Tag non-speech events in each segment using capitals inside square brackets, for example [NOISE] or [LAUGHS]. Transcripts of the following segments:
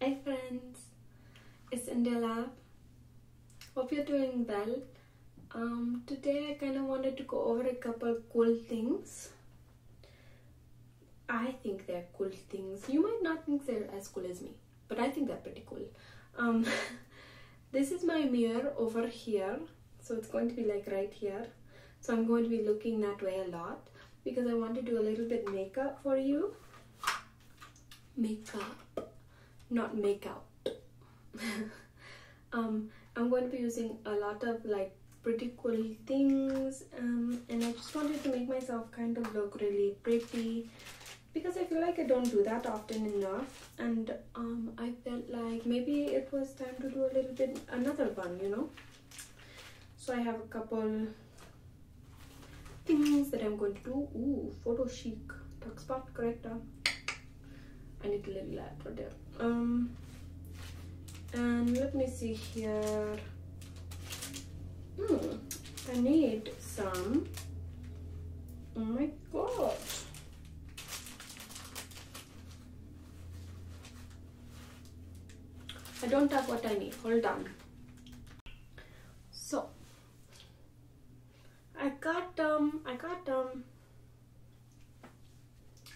Hey friends, it's India Lab. Hope you're doing well. Um, today I kind of wanted to go over a couple cool things. I think they're cool things. You might not think they're as cool as me, but I think they're pretty cool. Um, [LAUGHS] this is my mirror over here, so it's going to be like right here. So I'm going to be looking that way a lot because I want to do a little bit makeup for you. Makeup, not make out. [LAUGHS] um, I'm going to be using a lot of like pretty cool things um, and I just wanted to make myself kind of look really pretty because I feel like I don't do that often enough and um, I felt like maybe it was time to do a little bit another one you know so i have a couple things that i'm going to do Ooh, photo chic dark spot corrector i need a little light for that. um and let me see here hmm i need some oh my god I don't have what I need. Hold on. So I got um I got um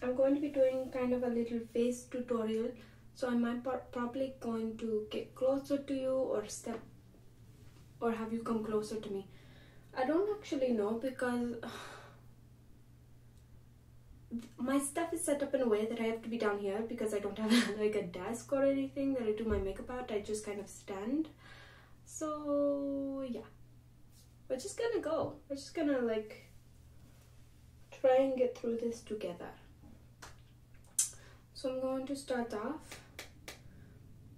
I'm going to be doing kind of a little face tutorial so I might probably going to get closer to you or step or have you come closer to me I don't actually know because my stuff is set up in a way that I have to be down here because I don't have [LAUGHS] like a desk or anything that I do my makeup at. I just kind of stand. So yeah, we're just gonna go. We're just gonna like try and get through this together. So I'm going to start off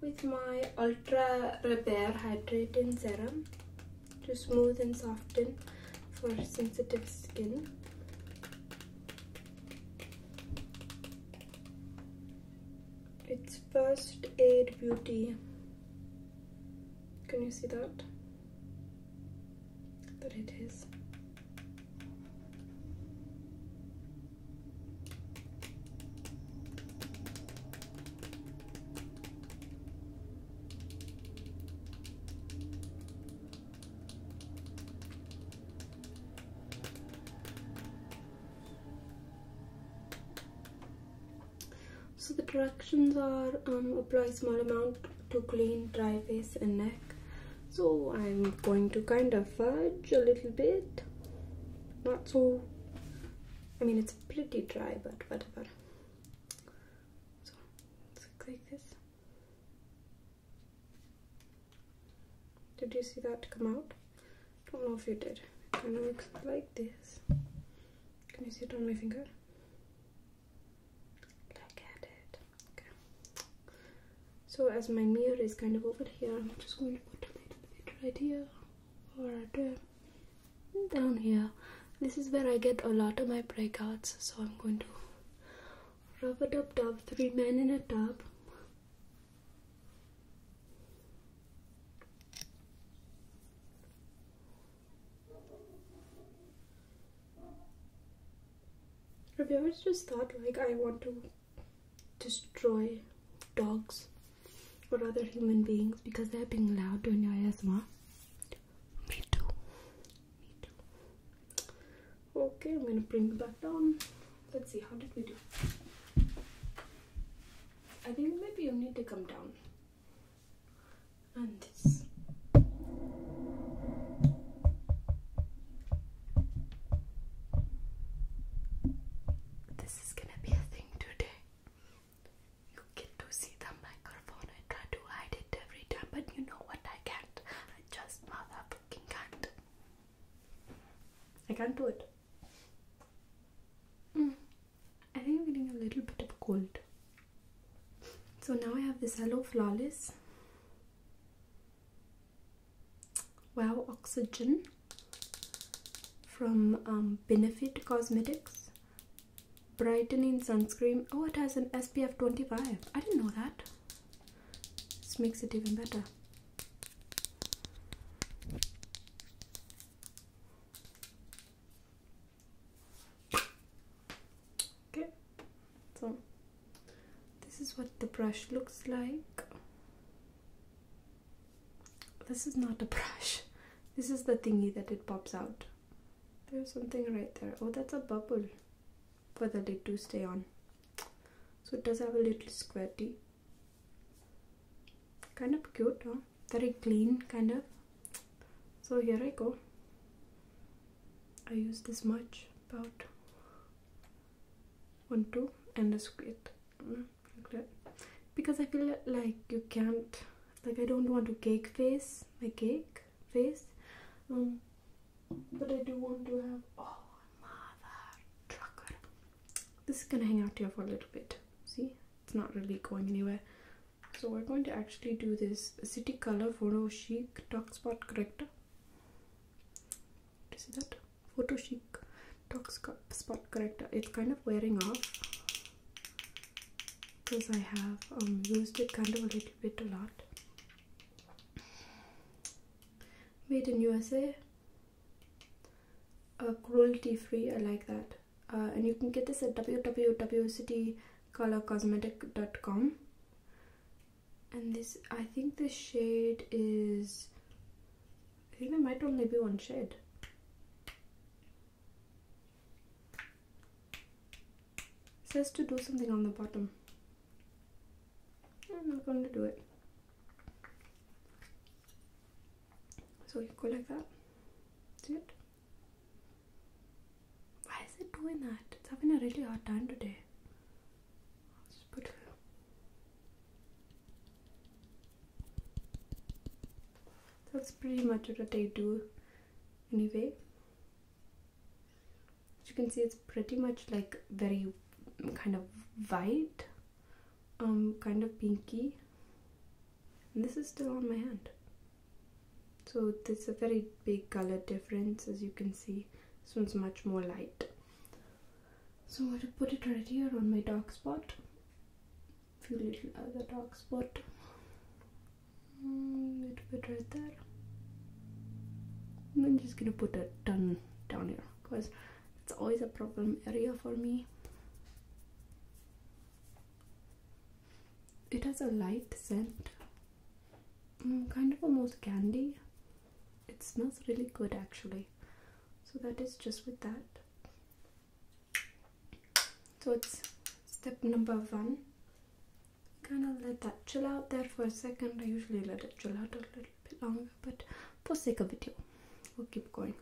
with my Ultra Repair Hydrating Serum to smooth and soften for sensitive skin. It's First Aid Beauty. Can you see that? That it is. So the directions are um, apply small amount to clean dry face and neck. So I'm going to kind of fudge a little bit. Not so, I mean it's pretty dry but whatever. So let's this. Did you see that come out? Don't know if you did. It kind of looks like this. Can you see it on my finger? Look at it. Okay. So as my mirror is kind of over here, I'm just going to put a little bit right here or at down here this is where I get a lot of my breakouts so I'm going to rub a up top three men in a tub Have you ever just thought like I want to destroy dogs or other human beings because they're being loud during your ASMR? Me too. Okay, I'm gonna bring it back down. Let's see, how did we do? I think maybe you need to come down. And this. This is gonna be a thing today. You get to see the microphone. I try to hide it every time, but you know what? I can't. I just motherfucking can't. I can't do it. Hmm. I think I'm getting a little bit of cold. So now I have this Hello Flawless. Wow Oxygen from um, Benefit Cosmetics brightening sunscreen oh it has an spf 25 i didn't know that this makes it even better okay so this is what the brush looks like this is not a [LAUGHS] brush this is the thingy that it pops out there's something right there. Oh, that's a bubble for the lid to stay on. So it does have a little squatty. Kind of cute, huh? Very clean, kind of. So here I go. I use this much, about one, two, and a squid. Mm, because I feel like you can't like I don't want to cake face my cake face um, but I do want to have oh mother trucker this is gonna hang out here for a little bit see it's not really going anywhere so we're going to actually do this city color photo chic talk spot corrector do you see that photo chic talk spot corrector it's kind of wearing off because I have um, used it kind of a little bit a lot. Made in USA, cruelty free, I like that. Uh, and you can get this at www.citycolorcosmetic.com. And this, I think this shade is, I think there might only be one shade says to do something on the bottom. I'm not going to do it. So you go like that. See it? Why is it doing that? It's having a really hard time today. That's pretty much what they do anyway as you can see it's pretty much like very kind of white um kind of pinky this is still on my hand so there's a very big color difference as you can see this one's much more light so I put it right here on my dark spot few little other dark spot mm, a little bit right there I'm just gonna put that ton down here because it's always a problem area for me it has a light scent mm, kind of almost candy it smells really good actually so that is just with that so it's step number one. Gonna let that chill out there for a second. I usually let it chill out a little bit longer, but for sake of video, we'll keep going.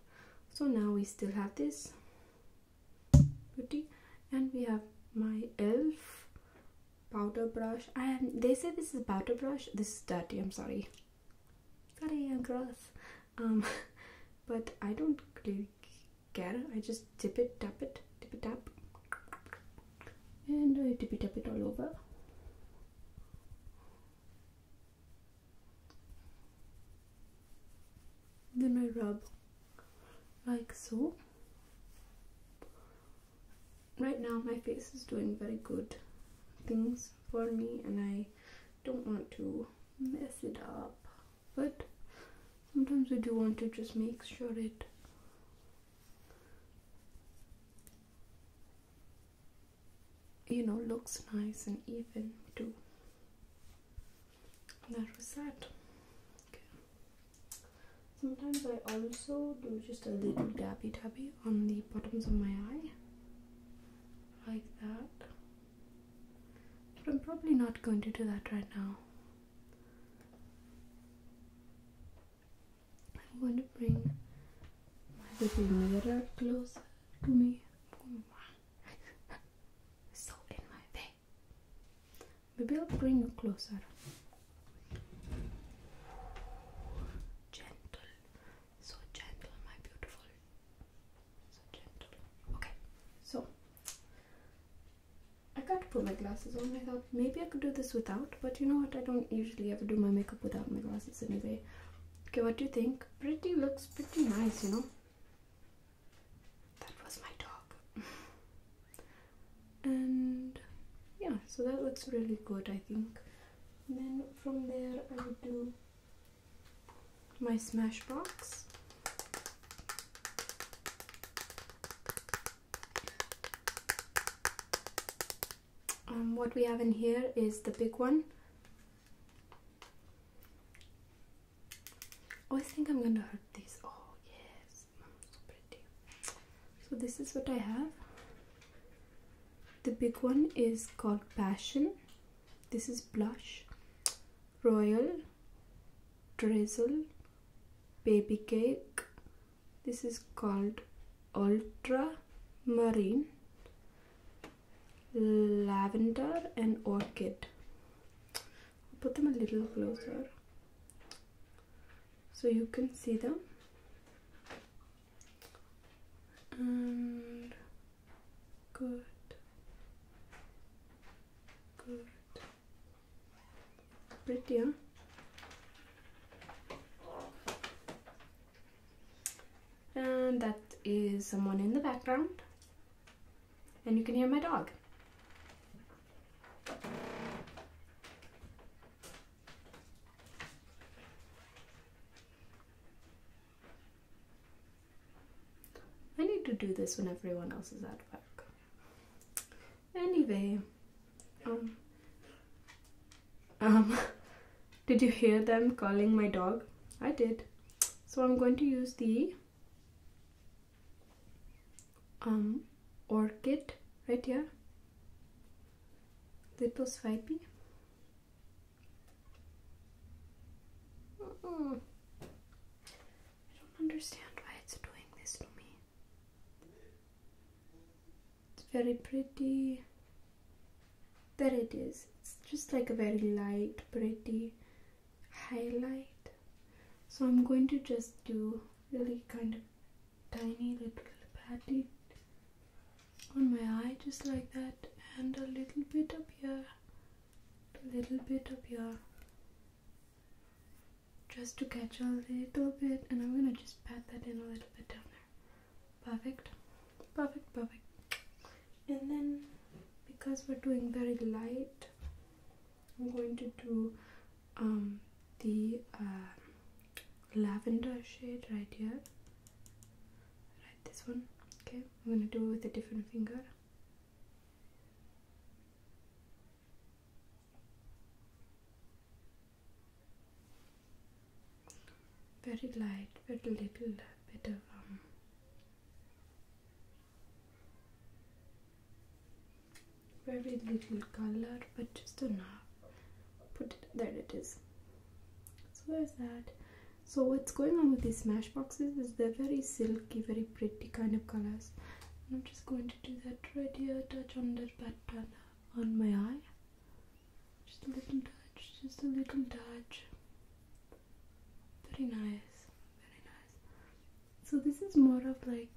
So now we still have this beauty, and we have my elf powder brush. And They say this is powder brush. This is dirty. I'm sorry. Sorry, I'm gross. Um, [LAUGHS] but I don't really care. I just dip it, tap it, dip it up, and I dip it, tap it all over. Then I rub like so. Right now, my face is doing very good things for me, and I don't want to mess it up but sometimes I do want to just make sure it you know looks nice and even too that was that sometimes I also do just a little dabby dabby on the bottoms of my eye like that but I'm probably not going to do that right now. I'm going to bring my little mirror closer to me. [LAUGHS] so in my way. Maybe I'll bring you closer. Gentle, so gentle, my beautiful. So Okay, so I got to put my glasses on. I thought maybe I could do this without, but you know what? I don't usually ever do my makeup without my glasses anyway. Okay, what do you think? Pretty looks pretty nice, you know. That was my dog. [LAUGHS] and yeah, so that looks really good, I think. then from there, I would do my Smashbox. Um, what we have in here is the big one. Oh, I think I'm gonna hurt these. Oh, yes, so pretty. So this is what I have. The big one is called Passion. This is Blush, Royal, drizzle baby cake this is called ultramarine lavender and orchid put them a little closer so you can see them Good. Good. Pretty, huh? And that is someone in the background. And you can hear my dog. I need to do this when everyone else is at work. Anyway, um, um, [LAUGHS] did you hear them calling my dog? I did. So I'm going to use the um orchid right here. plus five p. I don't understand why it's doing this to me. It's very pretty. There it is. It's just like a very light, pretty highlight. So I'm going to just do really kind of tiny little patty on my eye just like that and a little bit up here a little bit of your, just to catch a little bit and I'm gonna just pat that in a little bit down there perfect perfect perfect and then because we're doing very light I'm going to do um, the uh, lavender shade right here right this one okay I'm gonna do it with a different finger very light very little bit of um, very little color but just enough put it there it is so there's that so what's going on with these smash boxes is they're very silky very pretty kind of colors and i'm just going to do that right here touch on that pattern on my eye just a little touch just a little touch very nice very nice so this is more of like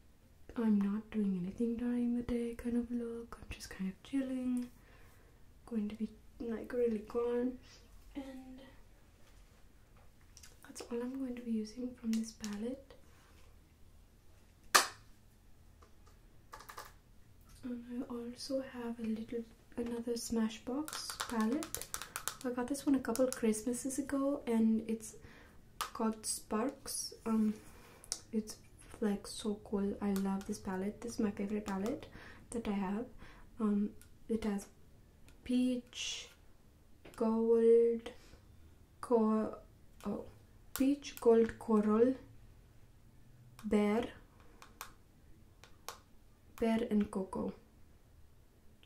i'm not doing anything during the day kind of look i'm just kind of chilling going to be like really calm and that's all I'm going to be using from this palette. And I also have a little another Smashbox palette. I got this one a couple Christmases ago and it's called Sparks. Um, it's like so cool. I love this palette. This is my favorite palette that I have. Um, it has peach gold cor oh, peach gold coral bear pear and cocoa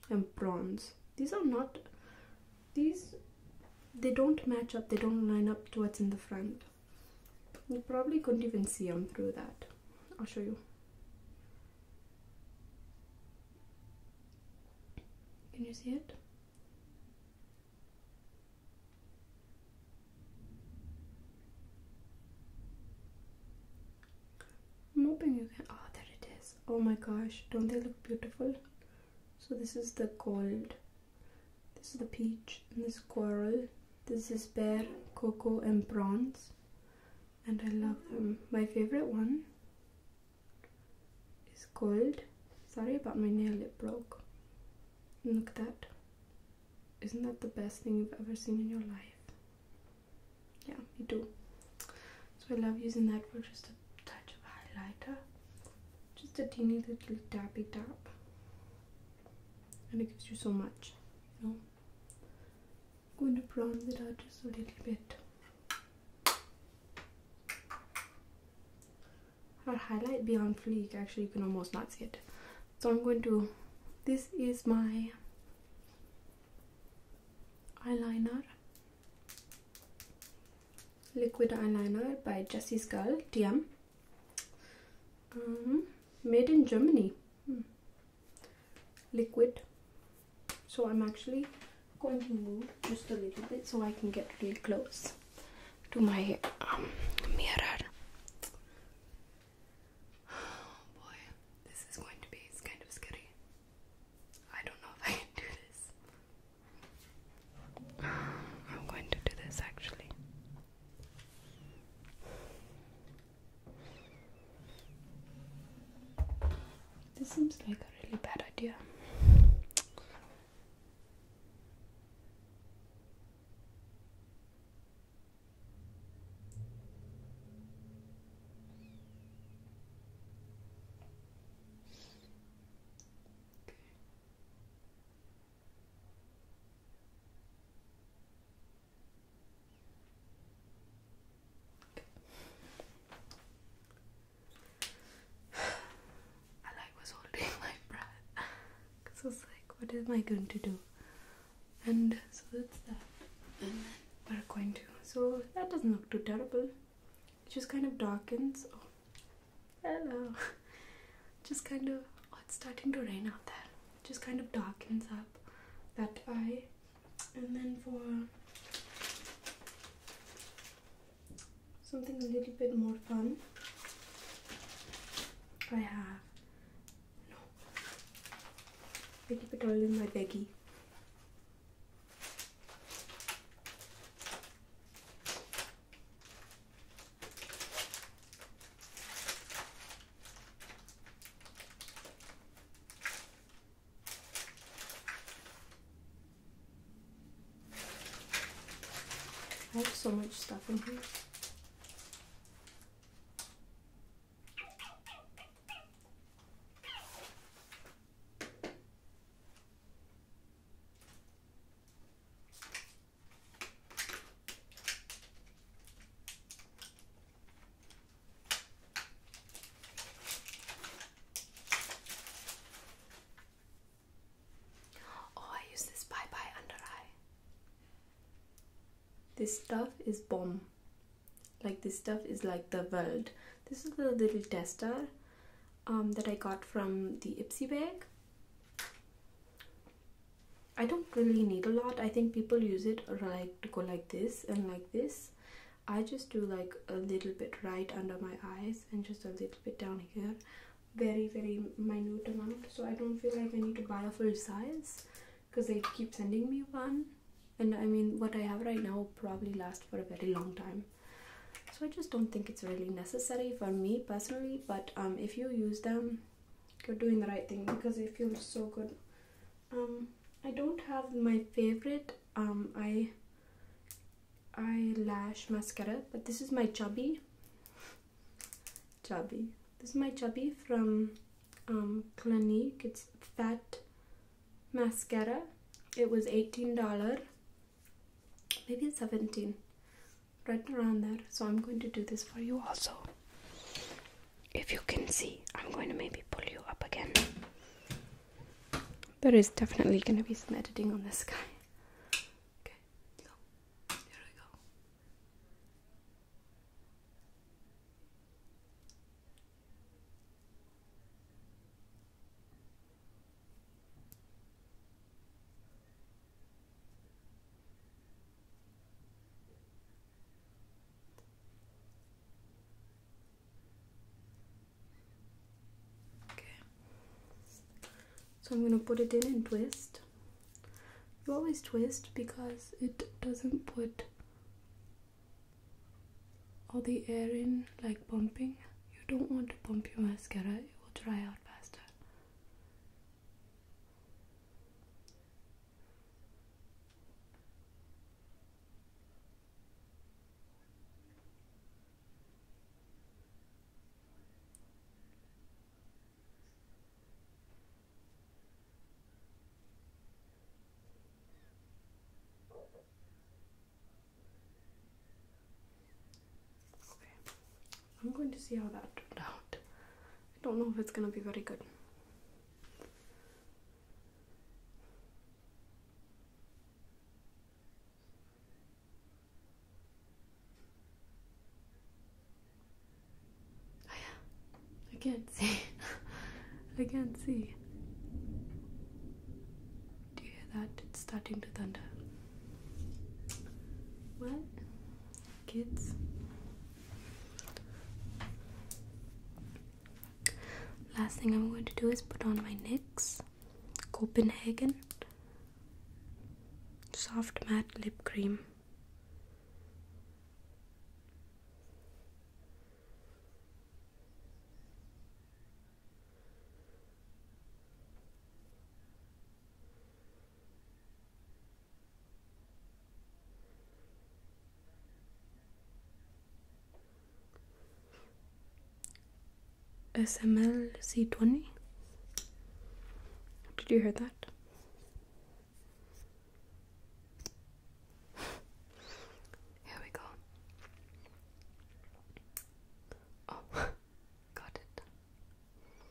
and prawns these are not these they don't match up they don't line up to what's in the front you probably couldn't even see them through that I'll show you can you see it? I'm hoping you can. Ah, there it is. Oh my gosh, don't they look beautiful? So, this is the gold, this is the peach, and this coral, this is pear, cocoa, and bronze and I love them. My favorite one is gold. Sorry about my nail, it broke. look at that. Isn't that the best thing you've ever seen in your life? Yeah, me too. So I love using that for just a touch of highlighter. Just a teeny little dabby dab. And it gives you so much, you know? I'm going to bronze it out just a little bit. Our highlight beyond fleek, actually you can almost not see it. So I'm going to, this is my eyeliner, liquid eyeliner by Jessie's Girl, TM. Mm-hmm. made in Germany. Hmm liquid so I'm actually going to move just a little bit so I can get really close to my um, mirror oh [SIGHS] boy this is going to be kind of scary I don't know if I can do this [SIGHS] I'm going to do this actually this seems like a really bad idea. I was holding my breath because I was like, what am I going to do? And so that's that. And we're going to. So that doesn't look too terrible. It just kind of darkens. Oh, hello. [LAUGHS] Just kind of. Oh, it's starting to rain out there just kind of darkens up that eye and then for something a little bit more fun I have no I keep it all in my baggy. I have so much stuff in here. Oh, I use this Bye Bye Under Eye. This stuff is bomb. Like this stuff is like the world. This is the little tester um, that I got from the Ipsy bag. I don't really need a lot. I think people use it like to go like this and like this. I just do like a little bit right under my eyes and just a little bit down here. Very, very minute amount. So I don't feel like I need to buy a full size because they keep sending me one. And I mean, what I have right now probably lasts for a very long time. So I just don't think it's really necessary for me personally. But um, if you use them, you're doing the right thing because it feels so good um i don't have my favorite um eye eyelash mascara but this is my chubby chubby this is my chubby from um clinique it's fat mascara it was 18 dollar maybe it's 17 right around there so i'm going to do this for you also if you can see, I'm going to maybe pull you up again. There is definitely going to be some editing on this guy. Okay, so here we go. Okay. So I'm going to put it in and twist. You always twist because it doesn't put all the air in like pumping. You don't want to pump your mascara, it will dry out faster. Okay, I'm going to see how that turned out. I don't know if it's gonna be very good. Oh, I can't see. [LAUGHS] I can't see. Do you hear that? It's starting to thunder. What? kids. Last thing I'm going to do is put on my NYX Copenhagen Soft Matte Lip Cream. SML C20. Did you hear that? Here we go. Oh, [LAUGHS] got it.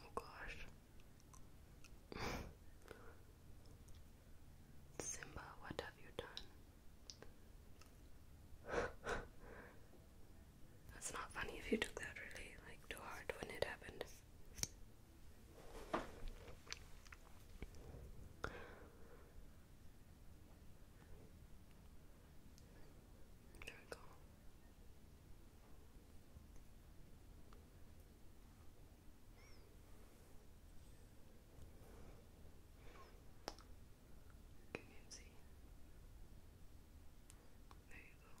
Oh gosh. [LAUGHS] Simba, what have you done? [LAUGHS] That's not funny if you took that really, like, too hard when it happened. There we Can you see? There you go.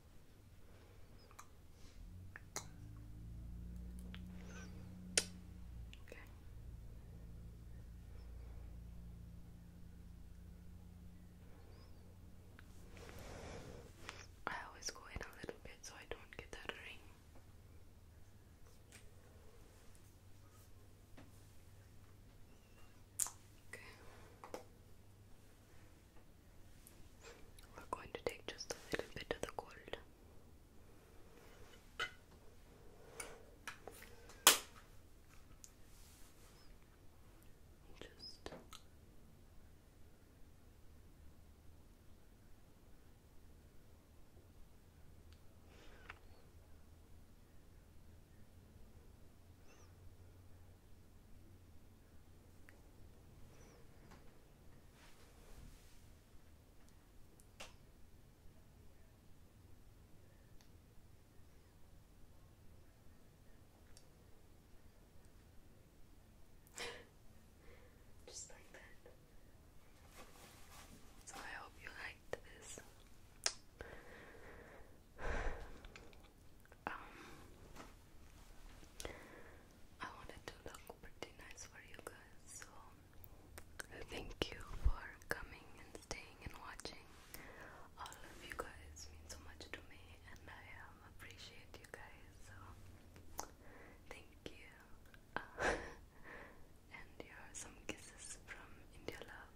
Okay. I always go in a little bit so I don't get that ring. Okay. We're going to take just a little bit of the gold. Just just like that. So I hope you liked this. [SIGHS] Um, I wanted to look pretty nice for you guys, so thank you for coming and staying and watching. All of you guys mean so much to me, and I um, appreciate you guys. So thank you, [LAUGHS] and here are some kisses from India Love.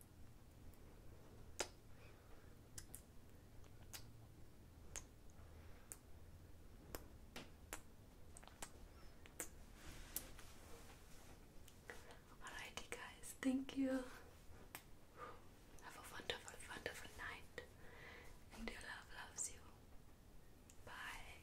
Alrighty, guys, thank you. Have a wonderful, wonderful night, and your love loves you. Bye.